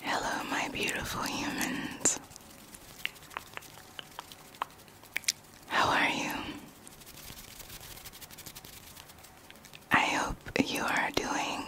Hello, my beautiful humans. How are you? I hope you are doing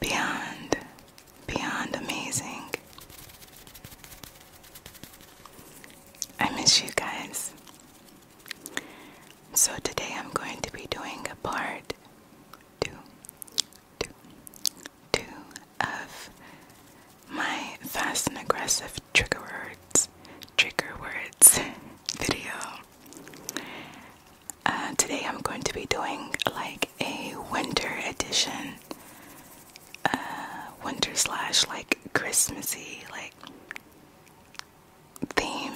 beyond, beyond amazing. I miss you guys. So today I'm going to be doing a part two, two, two of my fast and aggressive trigger words, trigger words video. Uh, today I'm going to be doing like a winter edition, uh, winter slash like Christmassy, like theme.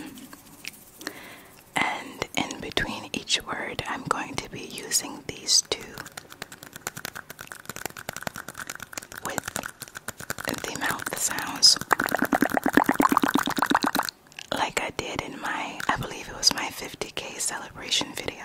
And in between each word, I'm going to be using these two with the mouth sounds, like I did in my, I believe it was my 50k celebration video.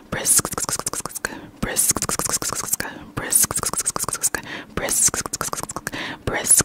brisk brisk brisk brisk brisk brisk brisk brisk brisk brisk brisk brisk brisk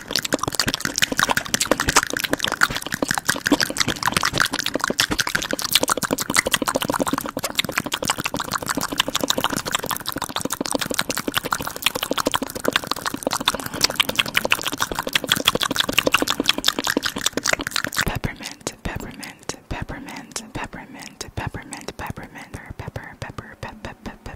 Peppermint, peppermint, peppermint, peppermint, peppermint, peppermint, pepper, pepper, pepper, pepper, pepper,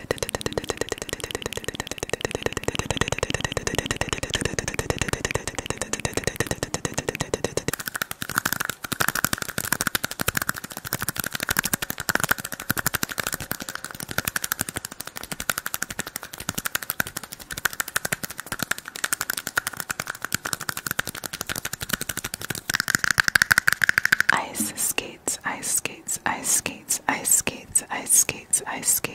Ice skates, ice skates, ice skates, ice skates, ice skates, ice skates.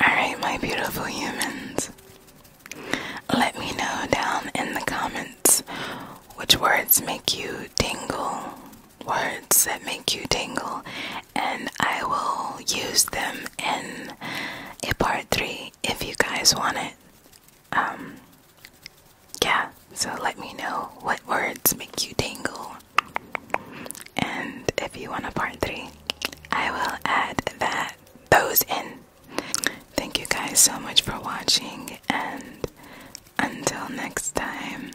Alright, my beautiful humans. Let me know down in the comments which words make you dingle. words that make you dingle, and I will use them in a part three if you guys want it. Um, yeah, so let me know what words make you dingle. And if you want a part three, I will add that those in. Thank you guys so much for watching, and until next time.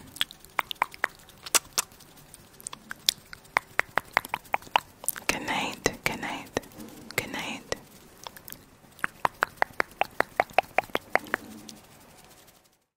Good night, good night, good night.